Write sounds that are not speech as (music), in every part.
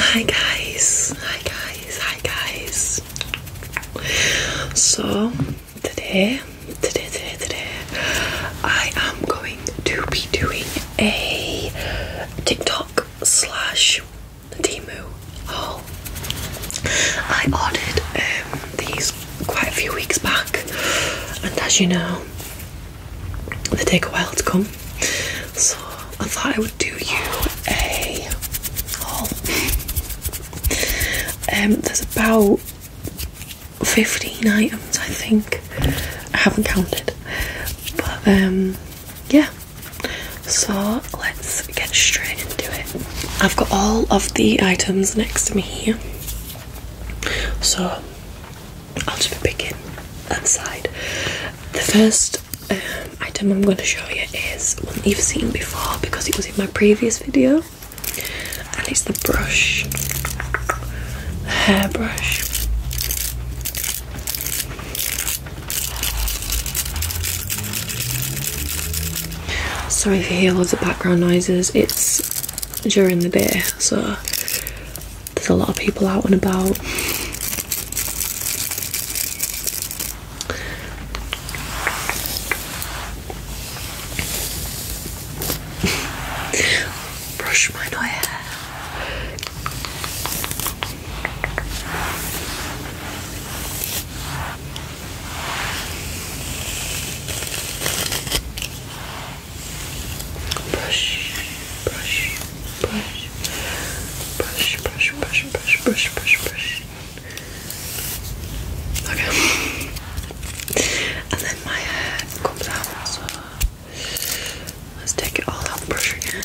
Hi guys, hi guys, hi guys. So today, today, today, today, I am going to be doing a TikTok slash Timu haul. I ordered um, these quite a few weeks back, and as you know, they take a while to come. So I thought I would do you a haul. Um, there's about 15 items, I think. I haven't counted, but um, yeah. So let's get straight into it. I've got all of the items next to me here. So I'll just begin inside. The first um, item I'm going to show you is one you've seen before because it was in my previous video, and it's the brush, the hairbrush. Sorry if you hear loads of background noises, it's during the day, so there's a lot of people out and about. Brush my hair. Brush, brush, brush, brush, brush, brush, brush, brush, brush, brush. Okay. And then my hair comes out, so let's take it all out brush again.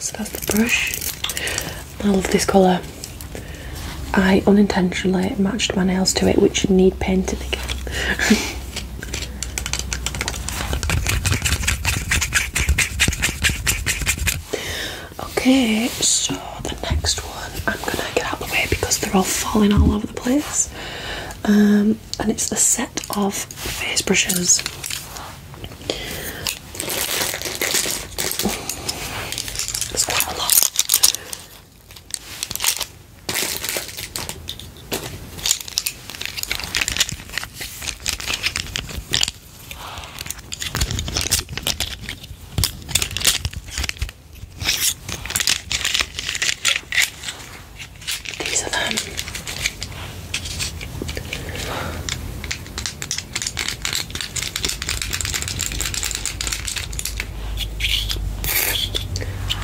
So that's the brush. I love this colour. I unintentionally matched my nails to it, which need painting again. (laughs) Okay, so the next one I'm gonna get out of the way because they're all falling all over the place. Um, and it's a set of face brushes. There's quite a lot. These are them.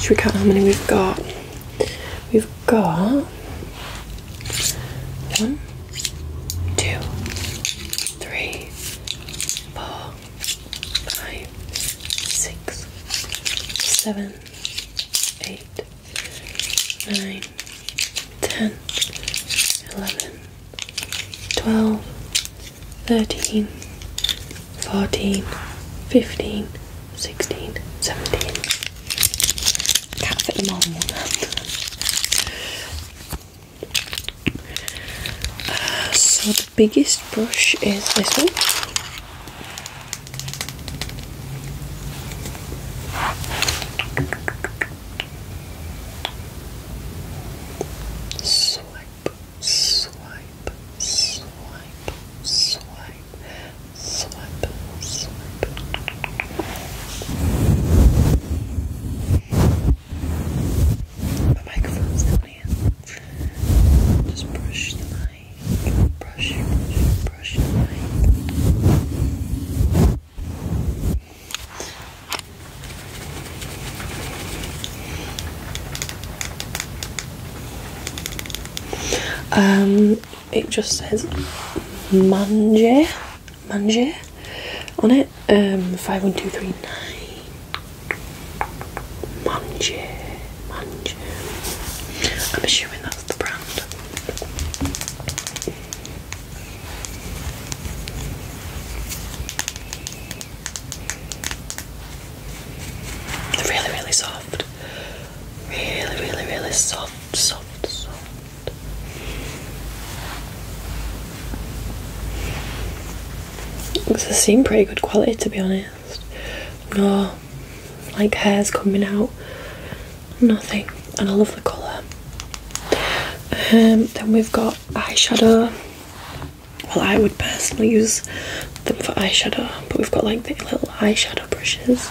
Should we count how many we've got? We've we've got one, two, three, four, five, six, seven, eight, nine, ten, eleven, twelve, thirteen, fourteen, fifteen, sixteen, seventeen. Can't fit them all. so the biggest brush is this one. Swipe, swipe, swipe, swipe. Swipe, swipe. My microphone's down Just brush the mic. Brush, brush, brush the mic. Um, it just says Manje Manje on it. Um five one two three nine Manje Manje. I'm assuming that's the brand. really, really soft. Really, really, really soft, soft, soft. This seem pretty good quality to be honest. No like hairs coming out. Nothing. And I love the colour. Um then we've got eyeshadow. Well I would personally use them for eyeshadow, but we've got like the little eyeshadow brushes.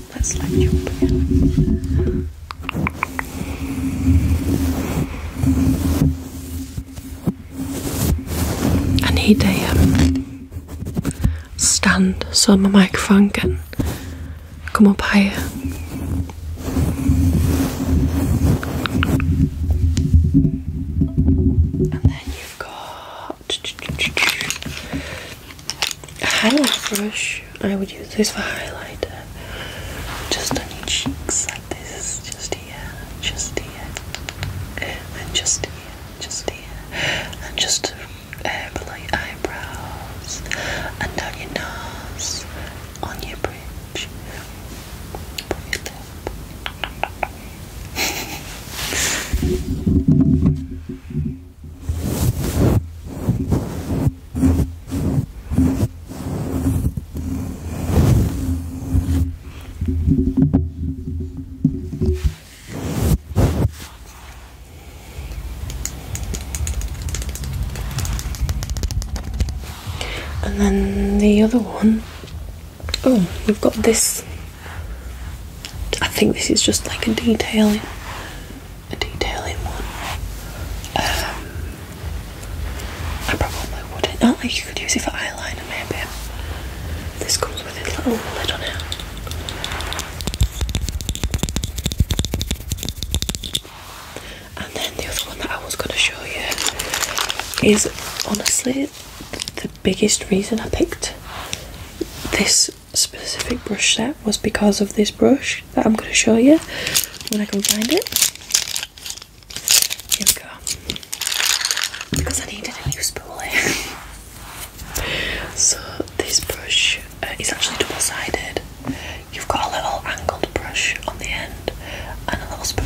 That's like your pen. I need a um, stand so my microphone can come up higher. And then you've got highlight brush. I would use this for highlighter. Just on your cheeks like this. Just here, just here, and just here, just here, and just uh, below your eyebrows, and down your nose, on your bridge. Put your lip. (laughs) And then the other one, oh, we've got this I think this is just like a detailing, a detailing one. Um, I probably wouldn't. Not oh, like you could use it for eyeliner, maybe. This comes with a little lid on it. And then the other one that I was going to show you is honestly the biggest reason I picked this specific brush set was because of this brush that I'm going to show you when I can find it. Here we go. Because I needed a new spoolie. (laughs) so this brush uh, is actually double sided. You've got a little angled brush on the end and a little spoon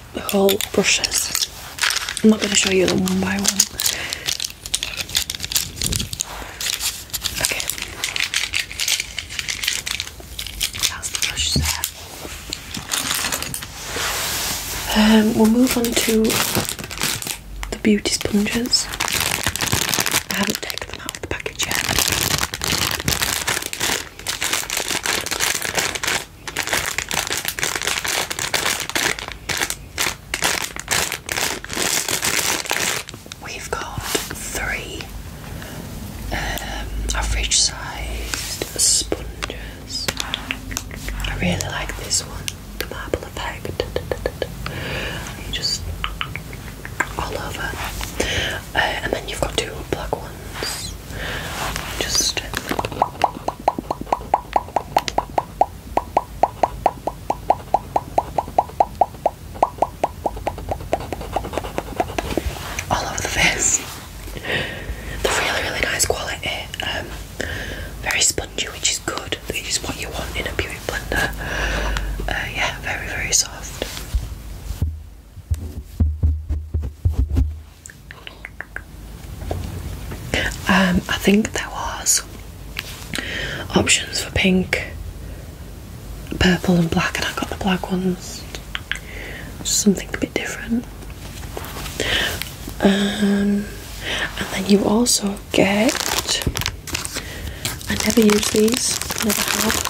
The whole brushes. I'm not going to show you them one by one. Okay. That's the brush there. Um, we'll move on to the beauty sponges. I haven't taken out the package yet. We've got three um, average sized sponges. I really like this one, the marble effect. You just all over. Uh, and then you've got two black ones. Just all over the face. The really, really nice quality, um, very spongy, which is good. It is what you want in a beauty blender. Uh, yeah, very, very soft. Um, I think there was options for pink, purple, and black, and I got the black ones. something a bit different. Um, and then you also get. I never use these. Never have.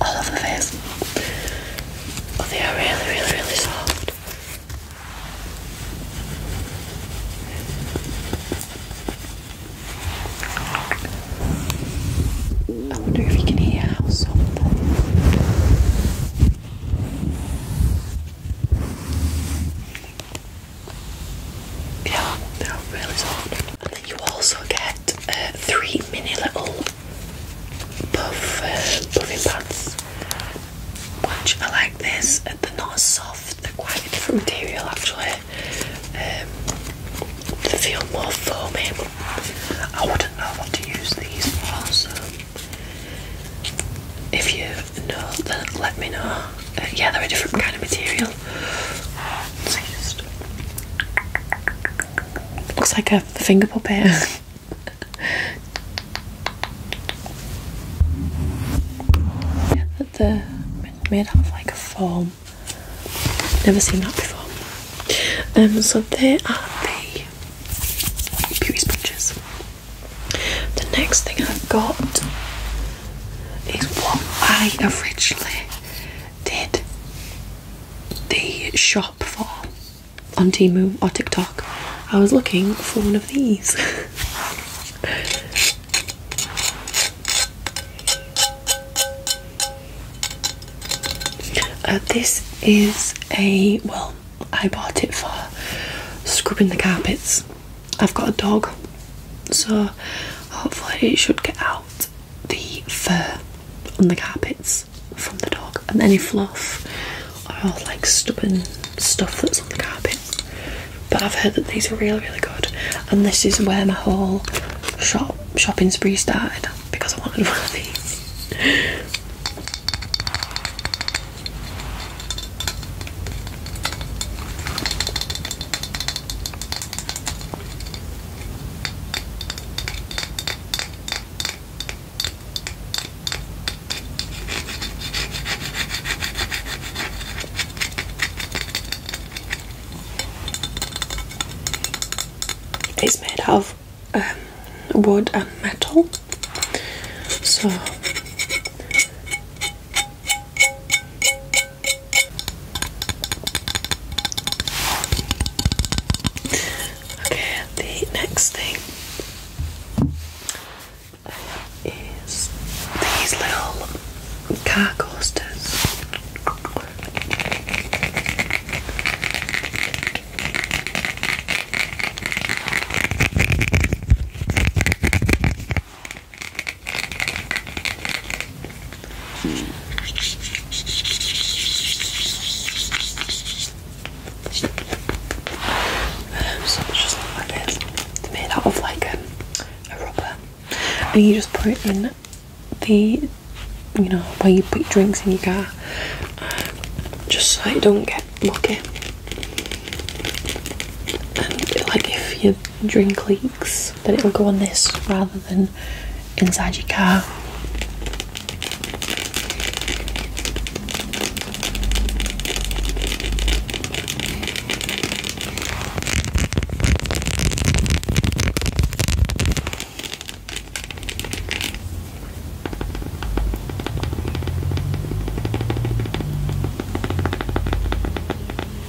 all over the face. But they are really, really, really soft. I wonder if you can hear how soft yeah, they're really soft. And then you also get uh, three mini little puff uh, puffing pads, which I like this. Uh, they're not soft. They're quite a different material actually. Um, they feel more foamy. I would love to use these also. if you know, then let me know. Uh, yeah, they're a different kind of material looks like a finger puppet. yeah, that the uh, made out of like a foam. Never seen that before. Um, so there are the beauty sponges. The next thing I've got is what I originally did the shop for on Timu or TikTok. I was looking for one of these. (laughs) Uh, this is a well, I bought it for scrubbing the carpets I've got a dog, so hopefully it should get out the fur on the carpets from the dog and any fluff or like stubborn stuff that's on the carpets. But I've heard that these are really, really good, and this is where my whole shop shopping spree started because I wanted (laughs) one of these. It's made of um, wood and metal, so Okay, the next thing is these little car coasters so it's just like this. It's made out of like a rubber, and you just put it in the, you know, where you put drinks in your car, um, just so it don't get mucky. And like if your drink leaks, that it will go on this rather than inside your car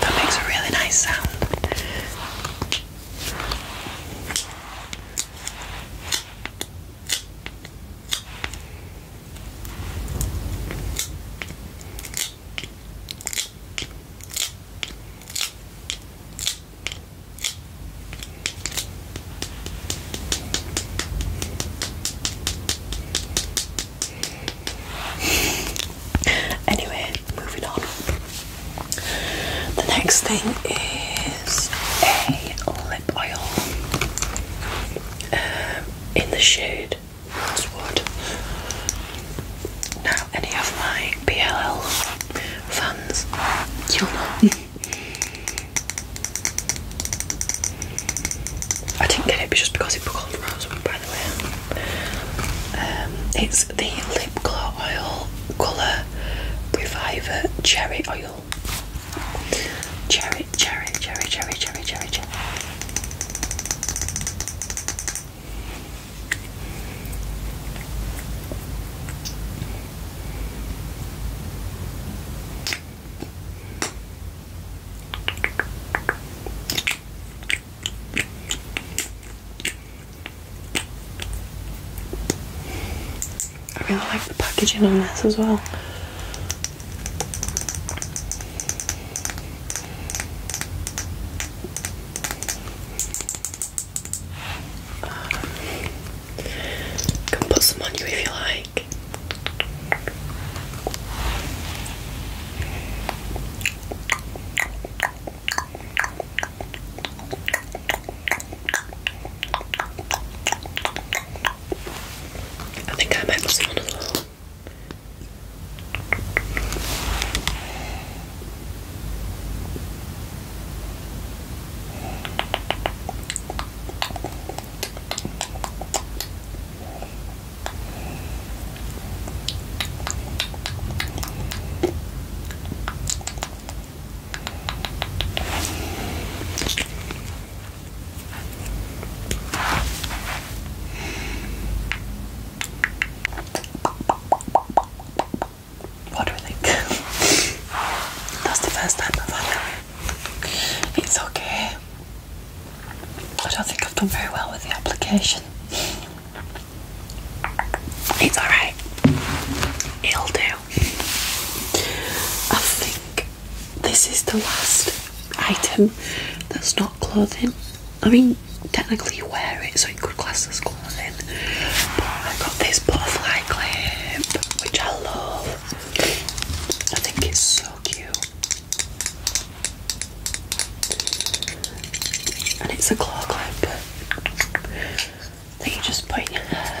That makes a really nice sound. Anyway, moving on. The next thing is a lip oil. Um, in the shade Woodswood. Now, any of my BLL fans, you know. I didn't get it but just because it called Rosewood, by the way. Um, it's the lip glow oil colour reviver cherry oil Cherry, cherry, cherry, cherry, cherry, cherry, cherry. I really like the packaging on this as well. can put some on you if you like. I think I might lose one as well. What do we think? (laughs) That's the first time I've had it. It's okay. I don't think I've done very well with the application. It's alright. It'll do. I think this is the last item that's not clothing. I mean, technically you wear it, so it could class as clothing. But I got this butterfly clip, which I love. I think it's so cute. And it's a claw clip that you just put in your hair.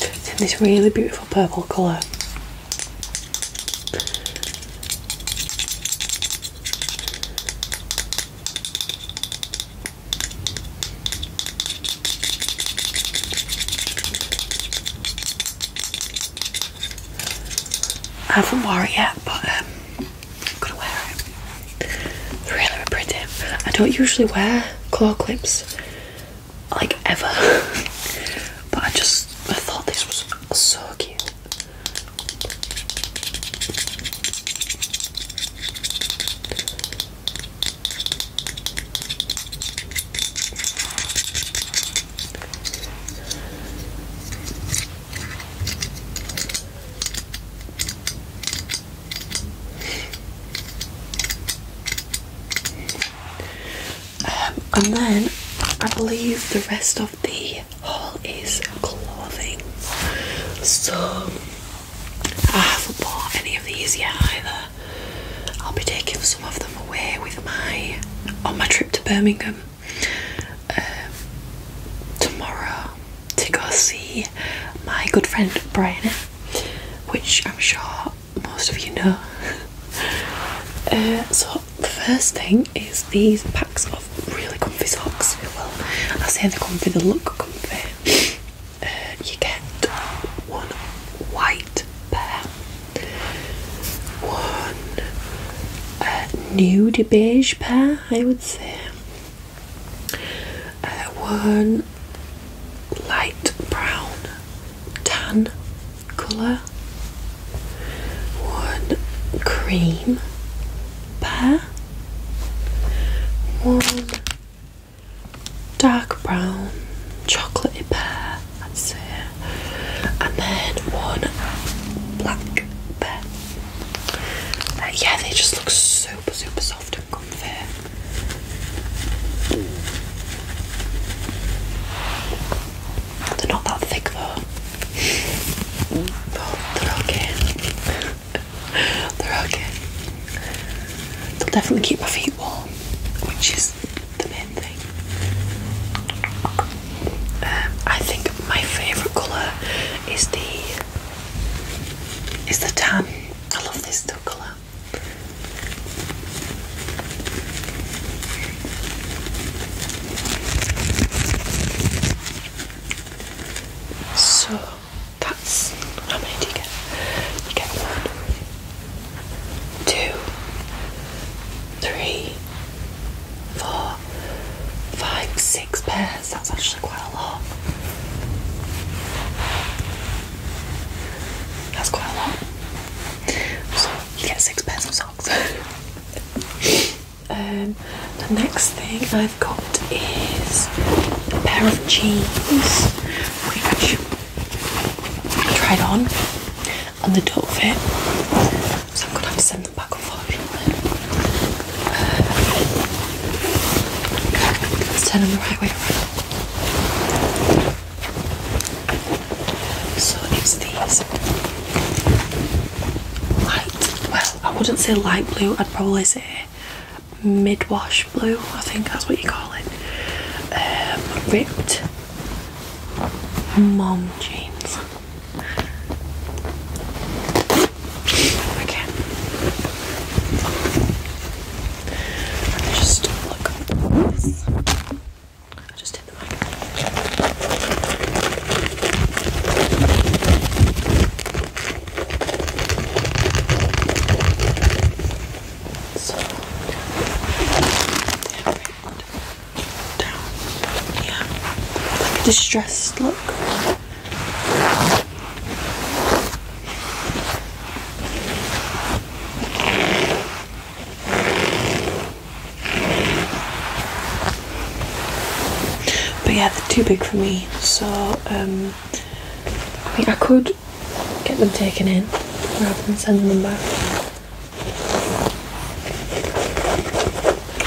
It's this really beautiful purple colour. I haven't worn it yet, but um, I'm gonna wear it. It's really pretty. I don't usually wear claw clips like ever. (laughs) but I just I thought this was so cute. Um, and then I believe the rest of the haul is clothing. So I haven't bought any of these yet either. I'll be taking some of them away with my on my trip to Birmingham um, tomorrow to go see my good friend Brian, which I'm sure most of you know. (laughs) Uh, so the first thing is these packs of really comfy socks. Well, I say they're comfy, they look comfy. Uh, you get one white pair, one uh, nude beige pair, I would say, uh, one light brown tan colour, one cream pear, one dark brown chocolatey pair, and then one black pear. Uh, yeah, they just look super, super soft and comfy. They're not that thick though. Oh, they're okay. (laughs) they're okay. They'll definitely keep my feet warm, which is the main thing. Um, I think my favourite colour is the is the tan. I love this colour. So that's how many do you get? You get one, two, three, four, five, six pairs. That's actually quite a lot. That's quite a lot. So you get six pairs of socks. (laughs) um, the next thing I've got is a pair of jeans which I tried on and they don't fit. So I'm gonna have to send them back unfortunately. Uh, let turn them the right way around. So it's these light, well, I wouldn't say light blue, I'd probably say mid wash blue, I think that's what you call it. Um, ripped mom jeans. Okay. And they just look like this. I just hit the mic. So, down. Yeah. distressed look. But yeah, they're too big for me, so um, I mean, I could get them taken in rather than sending them back.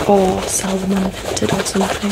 Or sell them unfitted or something.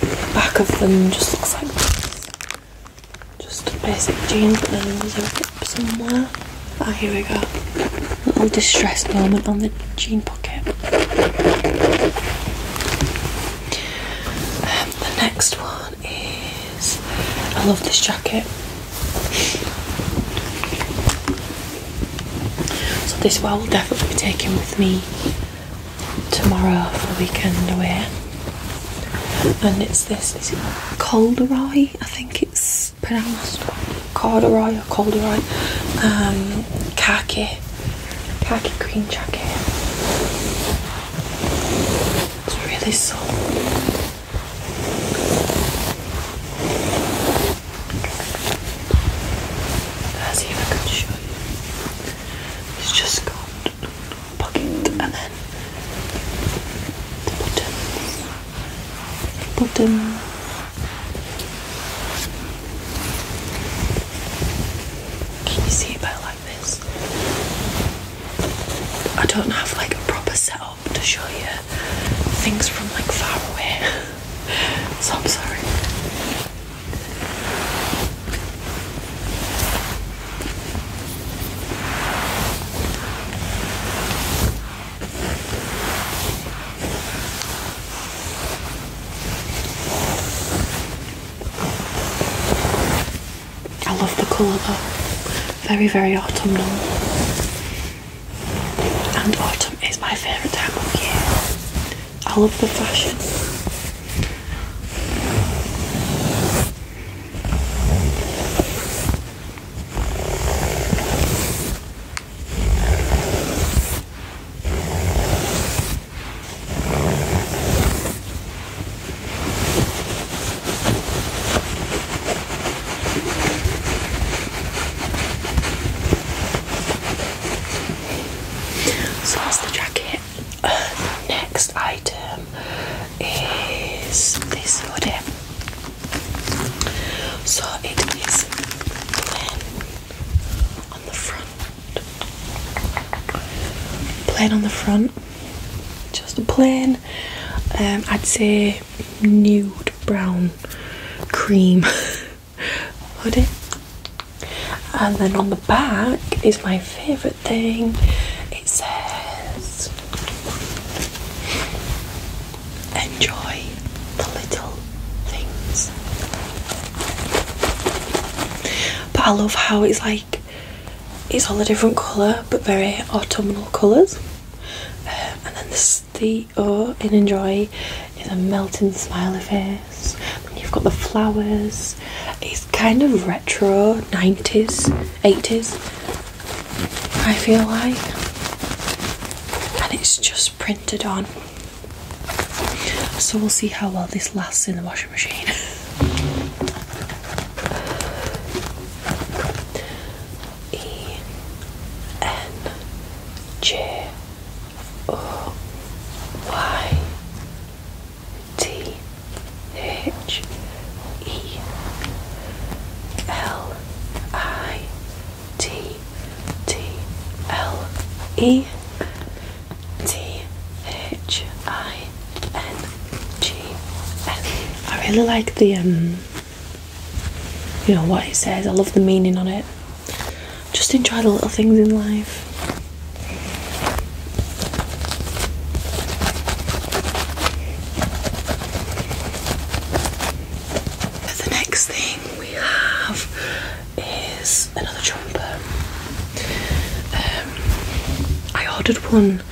The back of them just looks like Just a basic jeans, but then there's a rip somewhere. Ah, here we go. little distress moment on the jean pocket. Um, the next one is. I love this jacket. So this well will definitely be taken with me tomorrow for the weekend away. And it's this, is it Colderoy? I think it's pronounced Corduroy or Colderoy. Um, khaki, khaki green jacket. It's really soft. Let's I can show you. It's just got a and then the buttons. Button. Can you see it better like this? I don't have like a proper setup to show you things from like far away. (laughs) so I'm sorry. I love the colour though. Very, very autumnal. And autumn is my favourite time of year. I love the fashion. So that's the jacket. Uh, next item is this hoodie. So it is plain on the front. Plain on the front. Just a plain, um, I'd say nude brown cream. (laughs) hoodie. And then on the back is my favourite thing. It says, Enjoy the little things. But I love how it's like, it's all a different colour but very autumnal colours. Um, and then this the oat oh, and enjoy is a melting smiley face. And you've got the flowers. It's kind of retro 90s, 80s, I feel like. And it's just printed on. So we'll see how well this lasts in the washing machine. (laughs) E N J O Y T H E L I T T L E T H I N G N. I really like the um you know what it says, I love the meaning on it. Just enjoy the little things in life. The next thing we have is another jumper. Um, I ordered one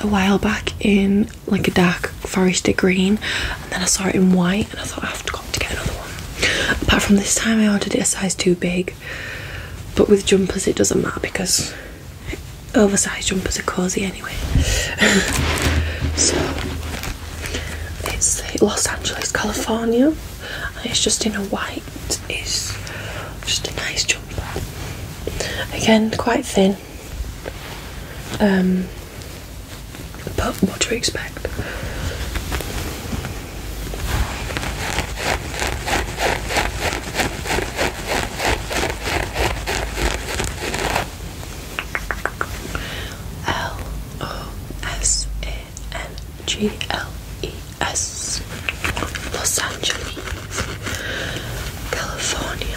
a while back in like a dark forested green, and then I saw it in white night and I thought I've got to get another one. Apart from this time I ordered it a size too big. But with jumpers it doesn't matter because oversized jumpers are cosy anyway. (laughs) so it's Los Angeles, California, it's just in a white. It's just a nice jumper. Again, quite thin. Um, but what do we expect? L O S A N G L E S Los Angeles, California.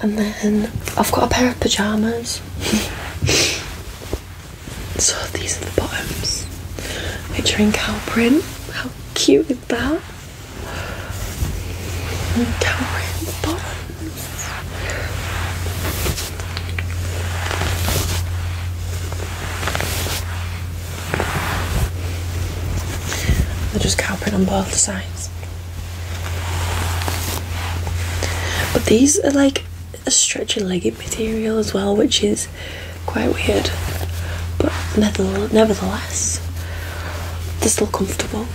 And then I've got a pair of pyjamas. (laughs) so these are the bottoms, featuring cow print. How cute is that? And print bottoms. They're just cow print on both sides. But these are like a stretchy legging material as well, which is quite weird. But nevertheless, they're still comfortable.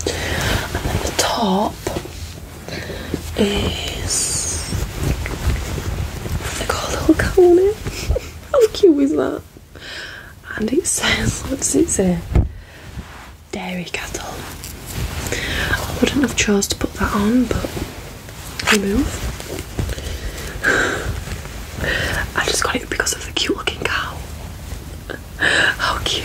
And then the top is like a little cat on it. (laughs) How cute is that? And it says, what does it say? Dairy cattle. I wouldn't have chose to put that on, but we (sighs) I just got it because of the cute looking cow. (laughs) How cute.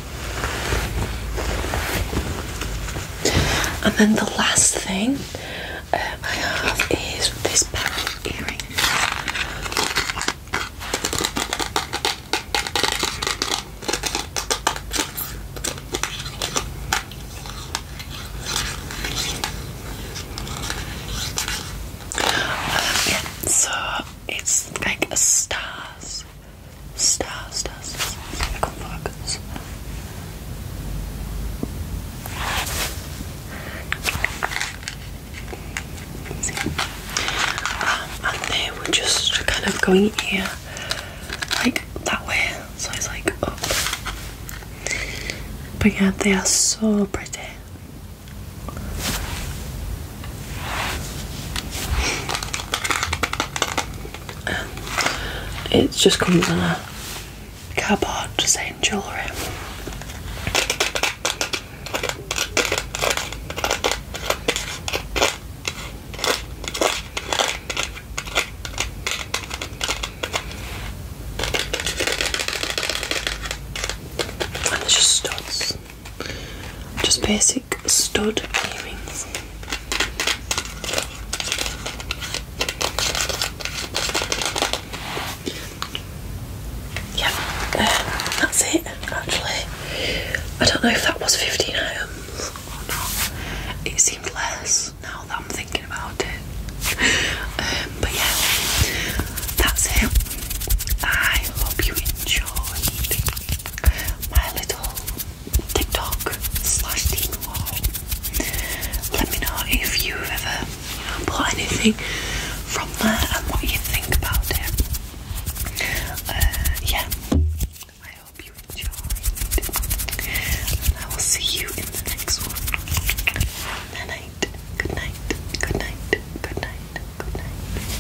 And then the last thing um, I have is this pair of earrings. Um, yeah, so it's like stars stars. Stars, stars, focus. Um, and then we're just kind of going here, like that way. So it's like up. But yeah, they are so pretty. Um, it just comes in a cardboard saying jewellery. And there's just studs. Just basic stud earrings. Yeah, um, that's it actually. I don't know if that was 15 items or not. It seemed less now that I'm thinking about it. Um, but yeah, that's it. I hope you enjoyed my little TikTok slash team wall. Let me know if you've ever bought anything from there and what you think about it. Uh, yeah, I hope you enjoyed, I will see you in the next one. Good night, good night, good night, good night, good night.